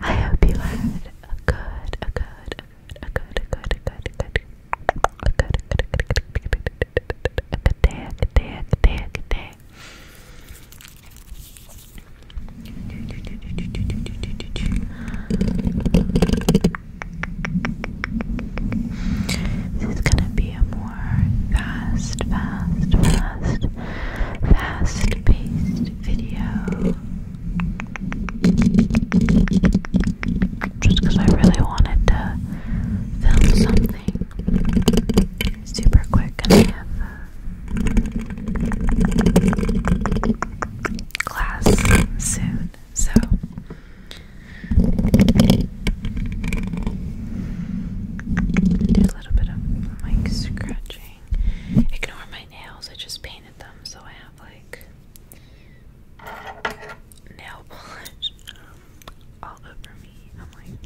I hope you had a good, a good, a good, a good, a good, a good, a good, a good day, a good day, a good day, a good day. This is gonna be a more fast, fast, fast fast paced video. Just I really wanted to film something super quick and I have class soon, so a little bit of mic scratching. Ignore my nails, I just painted them, so I have like nail polish all over me. I'm like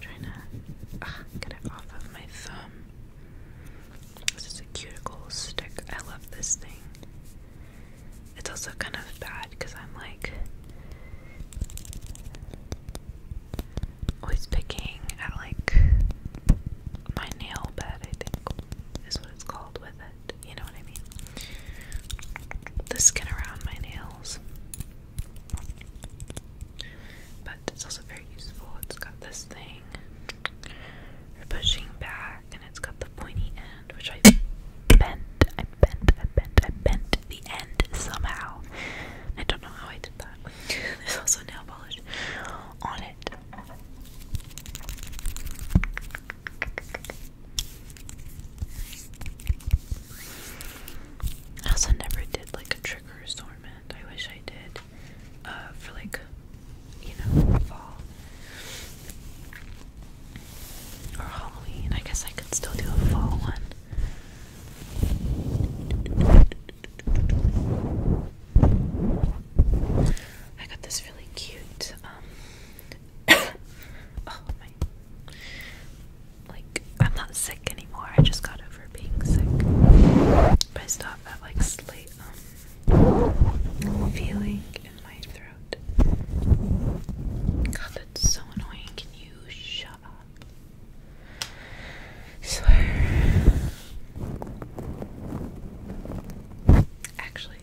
trying to ah, get it off of my thumb. This is a cuticle stick. I love this thing. It's also kind of bad because I'm like Always picking at like my nail bed, I think is what it's called with it. You know what I mean? The skin around my nails. But it's also very useful. It's got this thing for pushing back and it's got the pointy end which I bend bent, I bent, I bent the end somehow. I don't know how I did that. There's also nail polish on it. also never did like a trigger assortment. I wish I did. Uh, for like, you know, fall or Halloween. I guess I could still do a fall one. I got this really cute, um, oh my, like, I'm not sick anymore, I just got over being sick, I still that, like, slight, um, feeling in my throat. God, that's so annoying, can you shut up? Swear. Actually,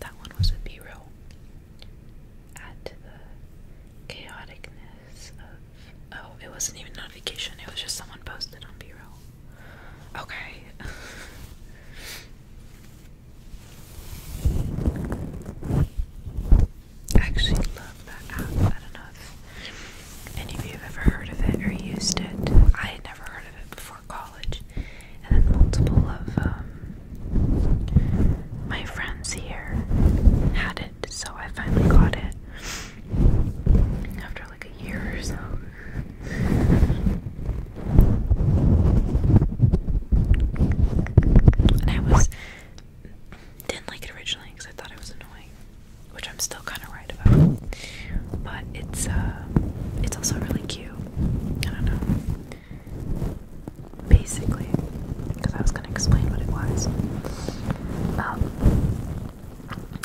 that one was a B roll. Add the chaoticness of. Oh, it wasn't even notification, it was just someone posted on B roll. Okay. I actually love that app. I don't know if any of you have ever heard of it or used it. I had never heard of it before college. And then multiple of um, my friends here had it, so I finally got it after like a year or so. And I was didn't like it originally because I thought it was annoying, which I'm still kind of right about. But it's uh, it's also really cute. I don't know. Basically, because I was gonna explain what it was. Um,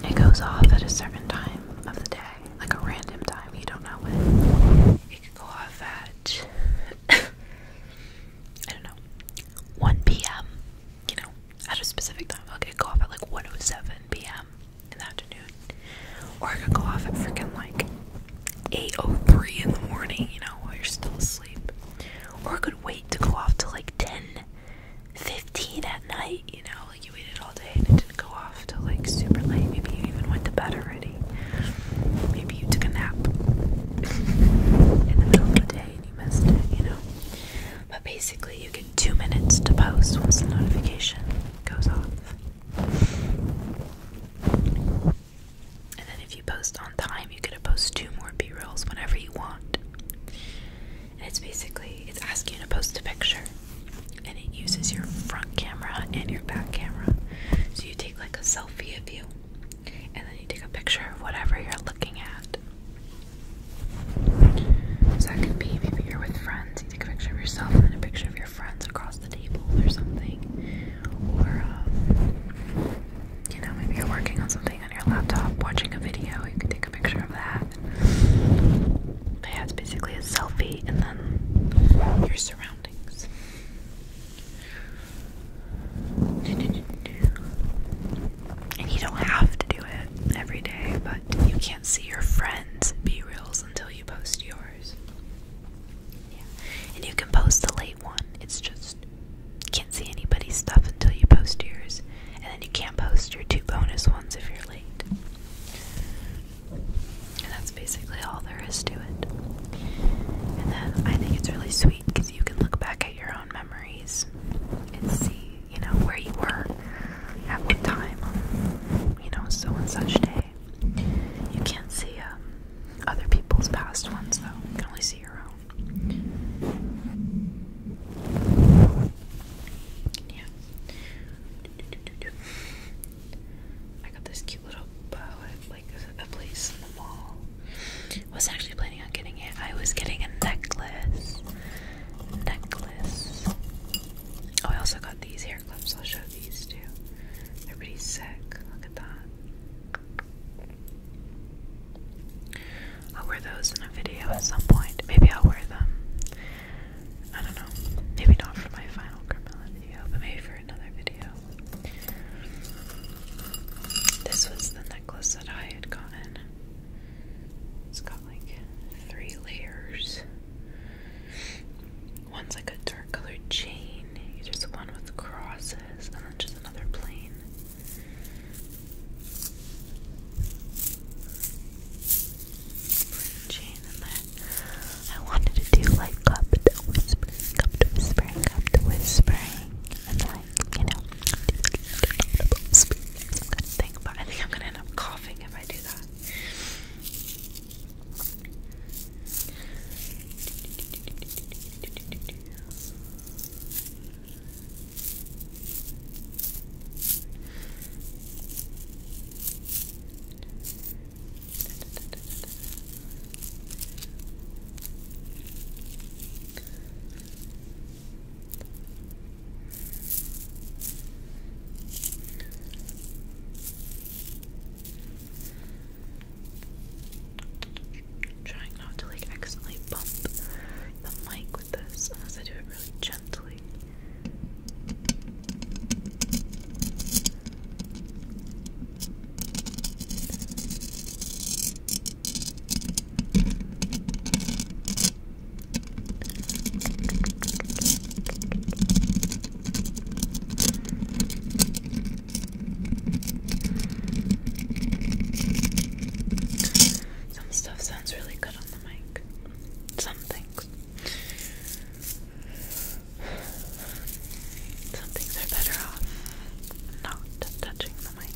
it goes off at a certain time of the day, like a random time. You don't know when. It could go off at. I don't know, 1 p.m., you know, at a specific time. Okay, go off at like 1.07 p.m. in the afternoon, or I could go off at freaking like 8.03 in the morning, you know, while you're still asleep. Or I could wait to go off till like 10.15 at night, you know, like you waited all day and it didn't go off till like super late. Maybe you even went to bed already. Maybe you took a nap in the middle of the day and you missed it, you know. But basically, you get two minutes to post once the notification goes off. And then, if you post on time, you get to post two more B rolls whenever you want. And it's basically it's asking you to post a picture, and it uses your front camera and your back camera. So you take like a selfie of you, and then you take a picture of whatever you're looking at. So that could be maybe you're with friends, you take a picture of yourself and a picture of your friends across the table or something. Or, um, you know, maybe you're working on something on your laptop, watching a video, you could take a picture of that. yeah, it's basically a selfie and then your surroundings. And you don't have to do it every day, but you can't see your friends' B reels until you post yours. Yeah. And you can post a late one. It's just you can't see anybody's stuff until you post yours. And then you can't post your two bonus ones if you're late. And that's basically all there is to it. And then I think it's really sweet because you can look back at your own memories and see, you know, where you were at what time you know, so and such day. You can't see um, other people's past ones though, you can only see your own. Yeah. I got this cute little bow at like a place in the mall. Was actually planning on getting it. I was getting a necklace. Necklace. Oh, I also got these hair clips. I'll show these too. Everybody's sick. Look at that. I'll wear those in a video at some point. Maybe I'll wear them. I don't know. Maybe not for my final criminal video, but maybe for this was the necklace that I had gotten. It's got like three layers. One's like a dark colored chain, there's one with crosses, and then just another plain. chain I wanted to do like cup to whispering, cup to whispering, cup to whispering, and like, you know, some kind of thing. But I think I'm gonna end up coughing if I do that. Okay. Trying not to like accidentally bump the mic with this unless I do it really gently. Some stuff sounds really good on the mic. Some some things are better off not touching the mic.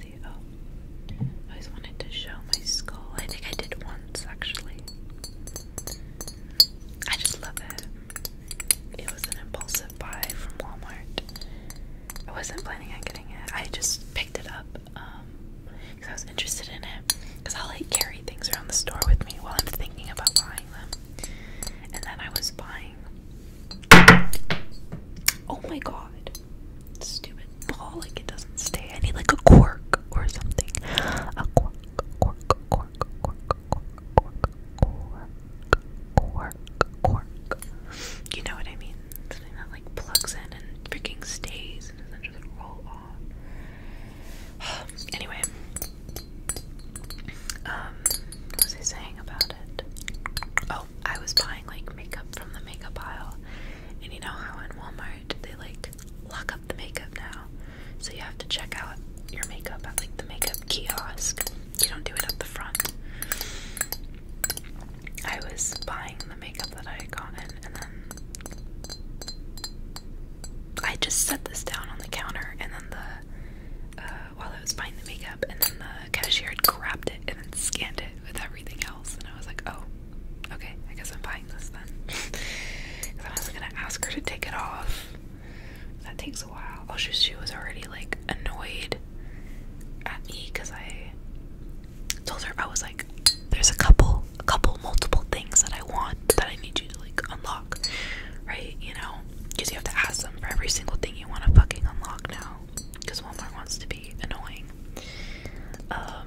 See, oh, I always wanted to show my skull. I think I did once actually. I just love it. It was an impulsive buy from Walmart. I wasn't planning on getting it. I just picked it up. Um, because I was interested in it. Because i like carry things around the store with me while I'm thinking about buying them. And then I was buying. Oh my god. Stupid ball, like it doesn't stay. I need like a cork or something. A cork, cork, cork, cork, cork, cork, cork, cork, cork. You know what I mean? Something that like plugs in and freaking stays and does just roll off. anyway, um, what was I saying about it? Oh, I was buying like makeup from the makeup aisle, and you know how in Walmart they like lock up the makeup now, so you have to check out your makeup at like the makeup kiosk. You don't do it at the front. I was buying the makeup that I got in and then I just set this down on the counter, and then the uh, while I was buying the makeup, and then the cashier had grabbed it and then scanned it with everything else, and I was like, oh, okay, I guess I'm buying this then, because I wasn't gonna ask her to take it off. That takes a while. Oh, she, she was already like annoyed at me because I told her I was like, there's a couple, a couple multiple things that I want that I need you to like unlock, right? You know, because you have to ask them for every single thing you want to fucking unlock now, because Walmart wants to be annoying. Um,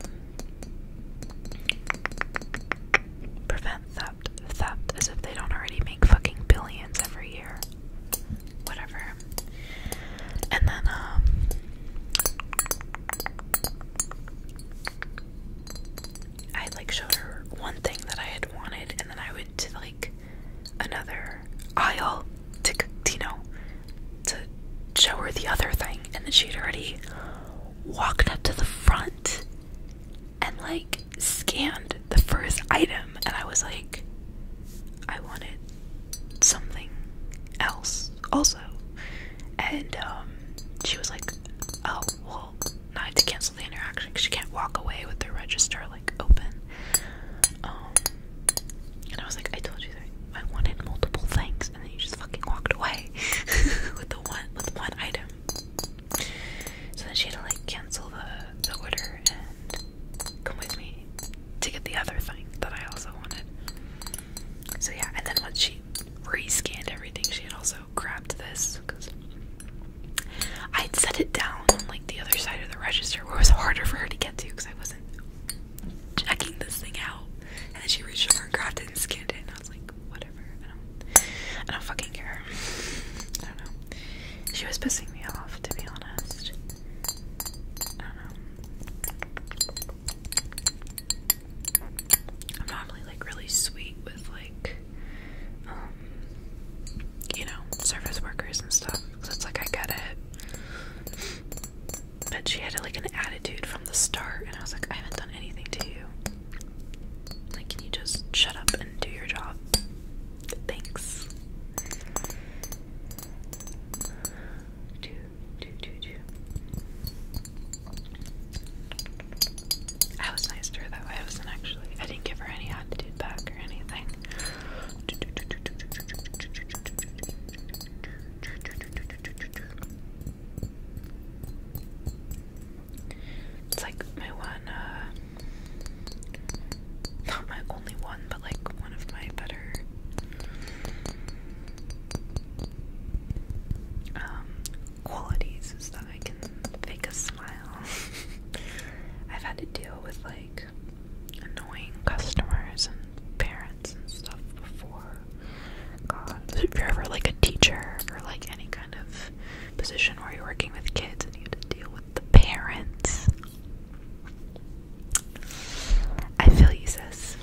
prevent theft, theft, as if they don't already make fucking billions every year. Whatever. And then, um, I like showed her one thing that I had wanted, and then I went to like another aisle to you know to show her the other thing, and then she had already walked up to the front and like scanned the first item, and I was like, I wanted something else also, and um, she was like, "Oh, well, I not to cancel the interaction because she can't walk away with the register like open." Um, and I was like, "I told you that I wanted multiple things, and then you just fucking walked away with the one with one item." So then she had to like cancel the the order and come with me to get the other thing that I also wanted. So yeah, and then once she re-scanned everything, she had also grabbed this because I'd set it down on like the other side of the register where it was harder for her to get to because I wasn't checking this thing out. And then she reached over and grabbed it and scanned it, and I was like, whatever. I don't, I don't fucking care. I don't know. She was pissing me off, to be honest. I don't know. I'm normally like really sweet with like, um, you know, service workers and stuff. So it's like I get it. But she had like an attitude from the start, and I was like, I haven't done anything to you. Like, can you just shut up and do your job? Thanks. Two, I was nice to her though. I wasn't actually. I didn't give her any attitude back or anything. It's like my one, uh, not my only one, but like one of my better um, qualities is that I can fake a smile. I've had to deal with like annoying customers and parents and stuff before. God, if you're ever like a teacher or like any kind of position where you're working with kids and you have to deal with the parents, I feel you, sis.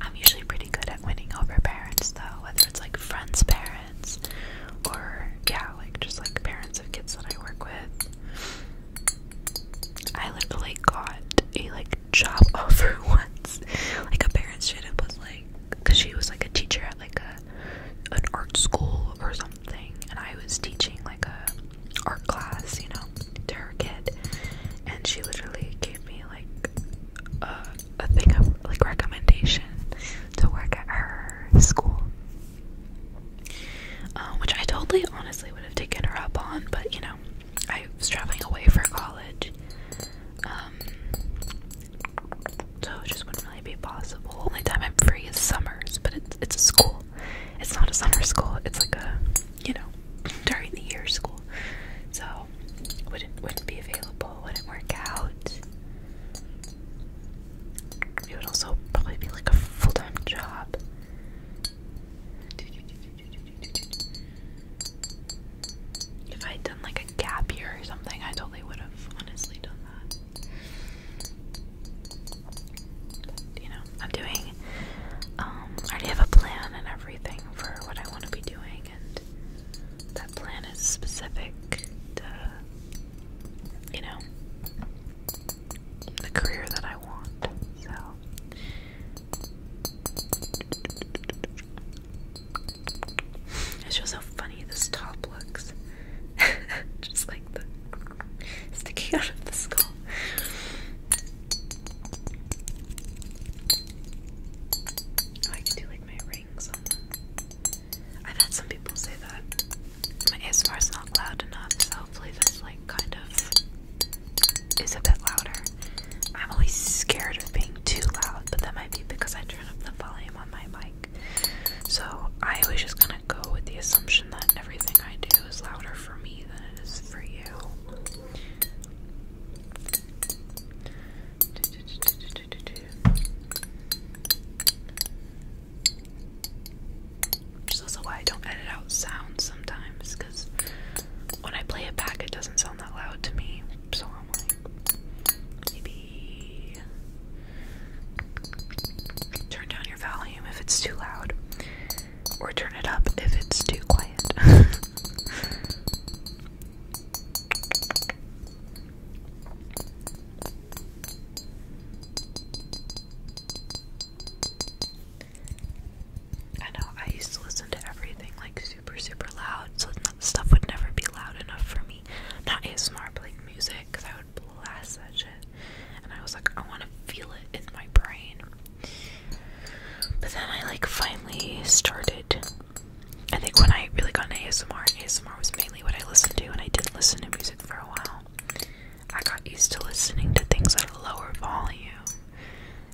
I'm usually pretty good at winning over parents, though, whether it's like friends' parents or, yeah, like just like parents of kids that I work with. I literally got a like job offer once. Like a parent student was like, cause she was like a teacher at like a an art school or something, and I was teaching like a art class, you know, to her kid, and she literally gave me like a a thing of like recommendation to work at her school. Uh, which I totally honestly would have taken her up on, but you know, I was traveling away for college, um, so it just wouldn't really be possible. Only time I'm free is summers, but it's it's a school. It's not a summer school. It's like a you know during the year school, so wouldn't wouldn't be available. Wouldn't work out. It would also probably be like a full time job. If I had done like a gap year or something, I totally would have honestly done that. you know, I'm doing, um, I already have a plan and everything for what I want to be doing, and that plan is specific you know, the career that I want. So it's just how funny this top looks. just like sticking out of the skull. Oh, I could do like my rings I've had some people say that my ASMR is not loud enough, so hopefully this like kind of is a bit louder. I'm always scared of being too loud, but that might be because I turn up the volume on my mic. So I was just gonna go with the assumption that everything I do is louder for me than it is for you. Which also why I don't edit out sounds sometimes, because when I play it back, it doesn't sound that loud to me. So I'm like, maybe turn down your volume if it's too loud, or turn it up if it's too quiet. I know I used to listen to everything like super super loud, so stuff would never be loud enough for me. Not ASMR, but like music, because I would blast that shit. And I was like, I want to feel it in my brain. But then I like finally started. I think when I really got into ASMR, ASMR was mainly what I listened to, and I didn't listen to music for a while. I got used to listening to things at a lower volume.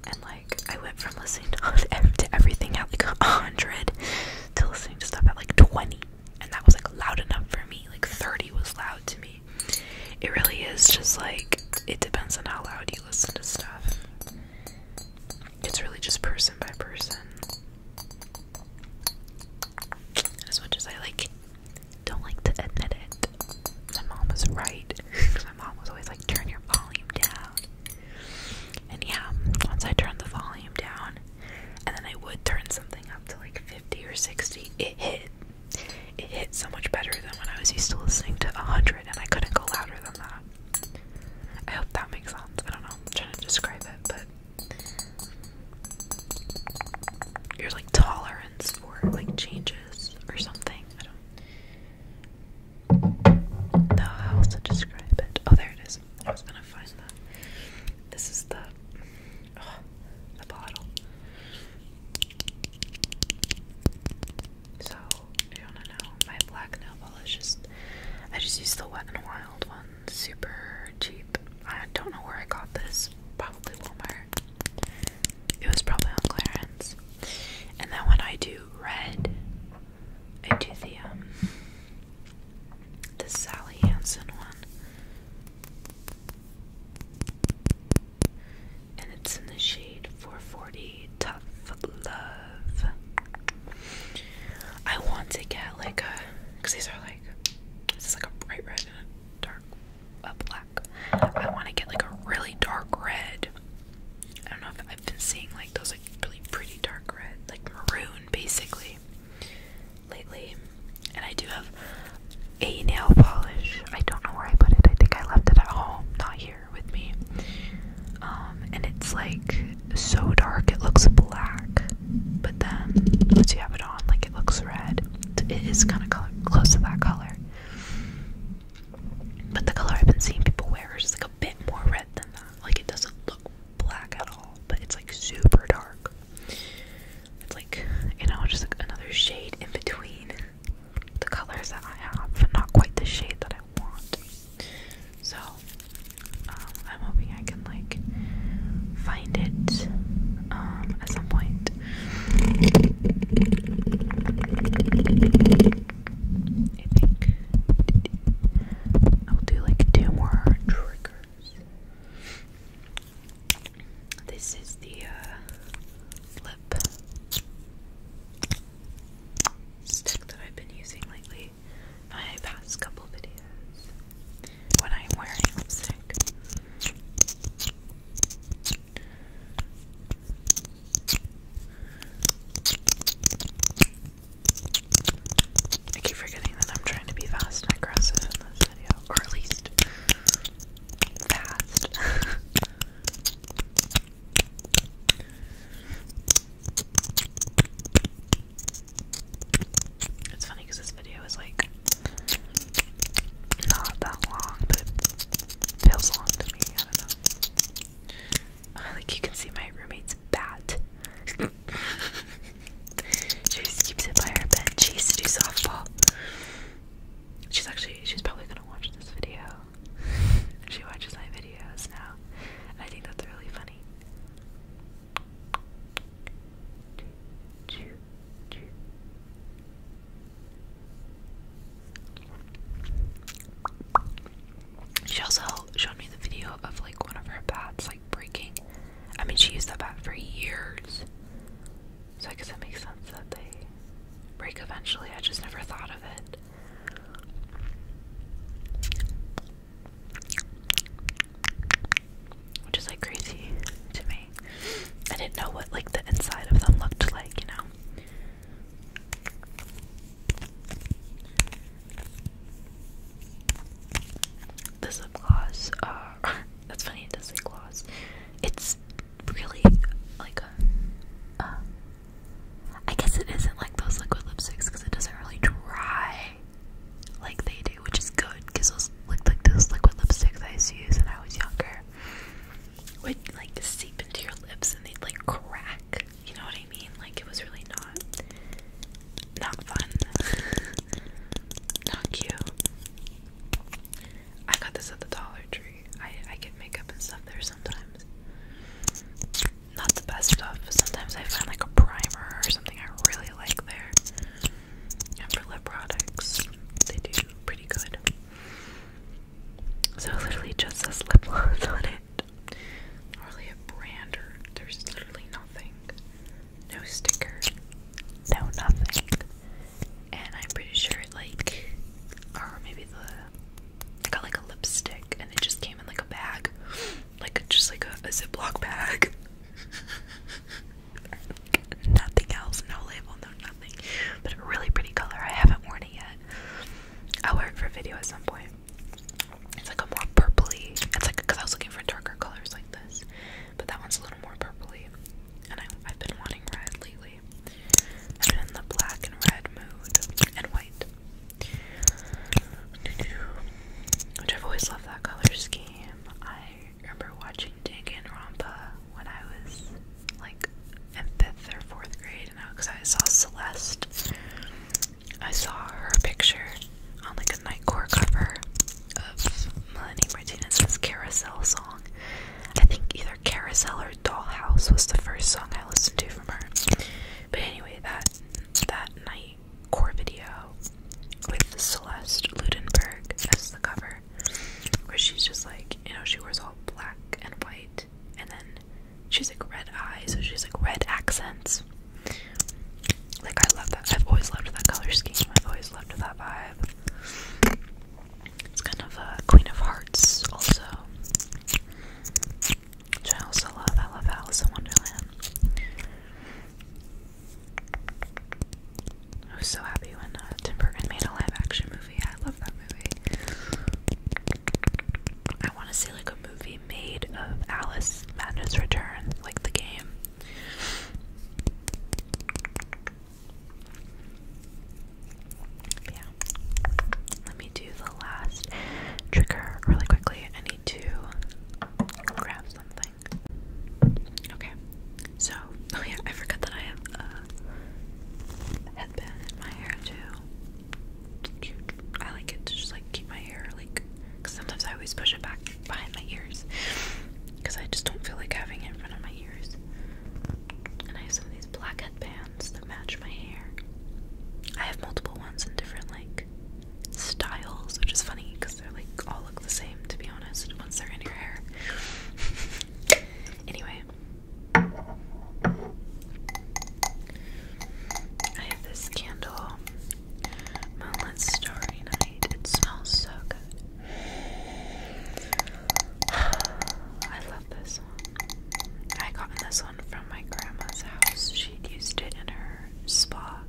And like, I went from listening to, everything at like 100 to listening to stuff at like 20. And that was like loud enough for me. Like 30 was loud to me. It really is just like, it depends on how loud you listen to stuff. It's really just person by person. As much as I like don't like to admit it. My mom was right. Cause my mom was always like, turn your volume down. And yeah, once I turned the volume down, and then I would turn something up to like 50 or 60, it hit. It hit so much better than when I was used to listening to 100, and I couldn't go louder than that. I hope that makes sense. I don't know. I'm trying to describe it, but your like tolerance for like changes or something. I don't know how else to describe it. Oh, there it is. I was gonna find that. This is the the bottle. So you wanna know, my black nail polish just I just use the Wet n Wild one super cheap. I don't know where I got this. Probably Walmart. It was probably on clearance. And then when I do red, I do the um, the Sally Hansen one. And it's in the shade 440 Tough Love. I want to get like a because these are like this is like a bright red dark uh, black. I want to get like a really dark red. I don't know if I've been seeing like those like really pretty dark red, like maroon basically lately. And I do have a nail polish. I don't know where I put it. I think I left it at home, not here with me. Um, and it's like so dark, it looks black but then once you have it on, like it looks red. It is kind of close to that color. But the color I've been seeing people wear is like a bit more red than that. Like it doesn't look black at all, but it's like super dark. It's like, you know, just another shade in between the colors that I have, but not quite the shade that I want. So, um, I'm hoping I can like find it um, at some point. I think I'll do like two more triggers. This is the uh, lip stick that I've been using lately. My past couple videos when I'm wearing lipstick. I keep forgetting that I'm trying to be fast and aggressive in this video, or at least fast. It's funny because this video is like not that long, but it feels long to me. I don't know. Uh, like you can see my roommate's bat. she just keeps it by her bed. She used to do softball. She's actually she's probably gonna watch this video. she watches my videos now. I think that's really funny. She also showed me the video of like one of her bats like breaking. I mean, she used that bat for years, so I guess it makes sense that they break eventually. I just never thought of it. Which is like crazy to me. I didn't know what like the inside of them looked like, you know. This lip gloss, uh, that's funny. It does say gloss. It's really like a. Uh, I guess it isn't like those liquid lipsticks because it doesn't really dry like they do, which is good because those look like those liquid lipsticks I used use when I was younger would like seep into your lips and they'd like crack. You know what I mean? Like it was really not not fun. not cute. I got this at the Dollar Tree. I I get makeup and stuff there sometimes. Not the best stuff. Sometimes I find like a primer or something I really like there. And for lip products, they do pretty good. So literally just says lip gloss on it. Not really a brand there's literally nothing. No sticker. No nothing. And I'm pretty sure it like or maybe the I got like a lipstick and it just came in like a bag like just like a, Ziploc bag. nothing else, no label, no nothing. But a really pretty color. I haven't worn it yet. I'll wear it for video at some point. It's like a more purpley. It's like because I was looking for darker colors like this, but that one's a little more purpley. And I've been wanting red lately. I've been in the black and red mood and white. Which I've always loved that color scheme. I remember watching Dig and when I was like in fifth or fourth grade, and because I, I saw Celeste, I saw her picture on like a Nightcore cover of Melanie Martinez's Carousel song. I think either Carousel or Dollhouse was the first song I listened to from her. But anyway, that that night core video with Celeste Ludenberg as the cover, where she's just like, you know, she wears all black and white, and then she's like red eyes, so she's like red accents. Like, I love that. I've always loved that color scheme, I've always loved that vibe. It's kind of a Queen of Hearts, also. I also love. I love Alice in Wonderland. I was so happy when uh, Tim Burton made a live-action movie. I love that movie. I want to see like a movie made of Alice Madness Return, like the game. Yeah. Let me do the last trigger really quickly. I need to grab Okay, so oh yeah, I forgot that I have a headband in my hair too. I like it to just like keep my hair like, cause sometimes I always push it back behind my ears, cause I just don't feel like having it in front of my ears. And I have some these black headbands that match my hair. I have multiple ones in different like styles, which is funny because they're like all look the same to be honest once they're in your hair. anyway, I have this candle, Moonlit Starry Night. It smells so good. I love this one. I got this one from my grandma's house. She used it in her spa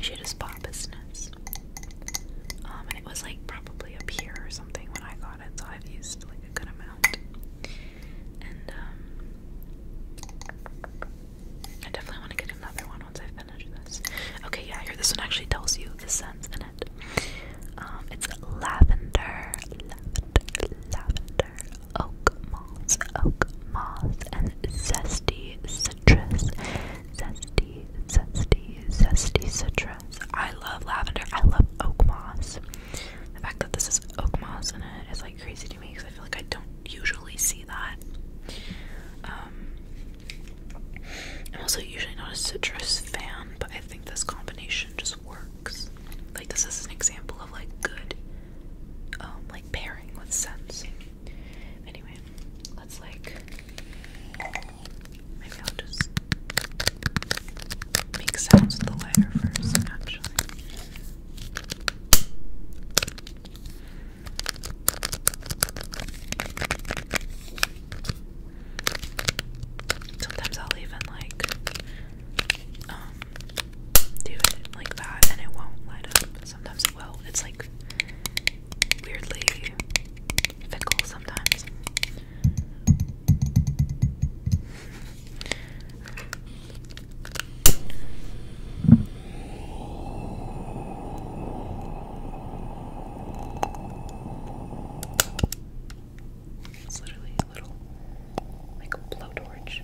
she just bought business. Um, it was like probably up here or something when I got it, so I've used like a good amount. And um, I definitely want to get another one once I finish this. Okay, yeah, here this one actually tells you the scent in it. Um, it's lavender, oak moss, oak moss, and zesty citrus, zesty, zesty, zesty citrus. I love lavender. I love oak moss. The fact that this is oak moss in it is like crazy to me because I feel like I don't usually see that. Um, I'm also usually not a citrus fan, but I think this combination just works. Like this is an example of like good um, like pairing with scents. Anyway, let's like maybe I'll just make sounds with the lighter first, actually. Sometimes I'll even like um, do it like that and it won't light up. Sometimes it will. It's like weirdly fickle sometimes. literally a little like a blowtorch. Okay.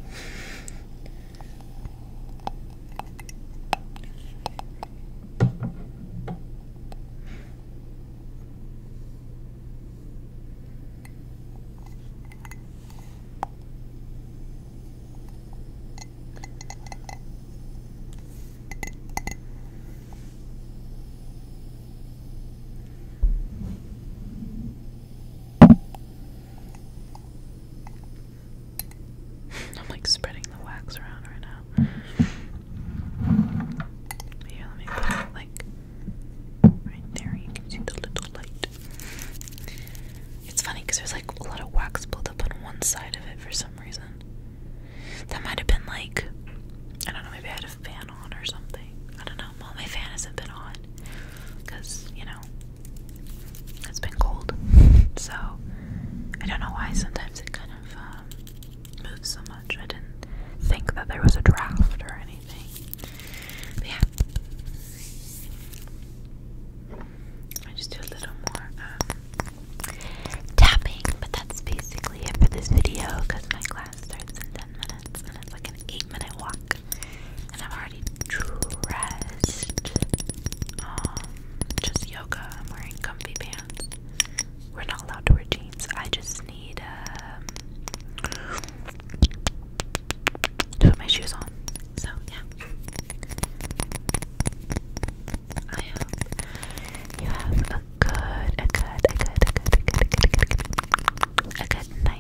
I'm like spreading the wax around right now. Yeah, let me put it like right there. You can see the little light. It's funny because there's like a lot of wax built up on one side of it for some reason. That might have been like, I don't know, maybe I had a fan on or something. I don't know um, all my fans have been on because you know it's been cold. So I don't know why sometimes it kind of um, moves so much. I didn't think that there was a draft or anything. yeah, I just do a little more um, tapping, but that's basically it for this video because my class starts in ten minutes and it's like an eight minute walk. And I'm already dressed. Um, just yoga. I'm wearing comfy pants. We're not allowed to wear jeans. I just need um, to put my shoes on. So yeah. I hope you have a good, a good, a good, a good, a good, a good, a good, a good night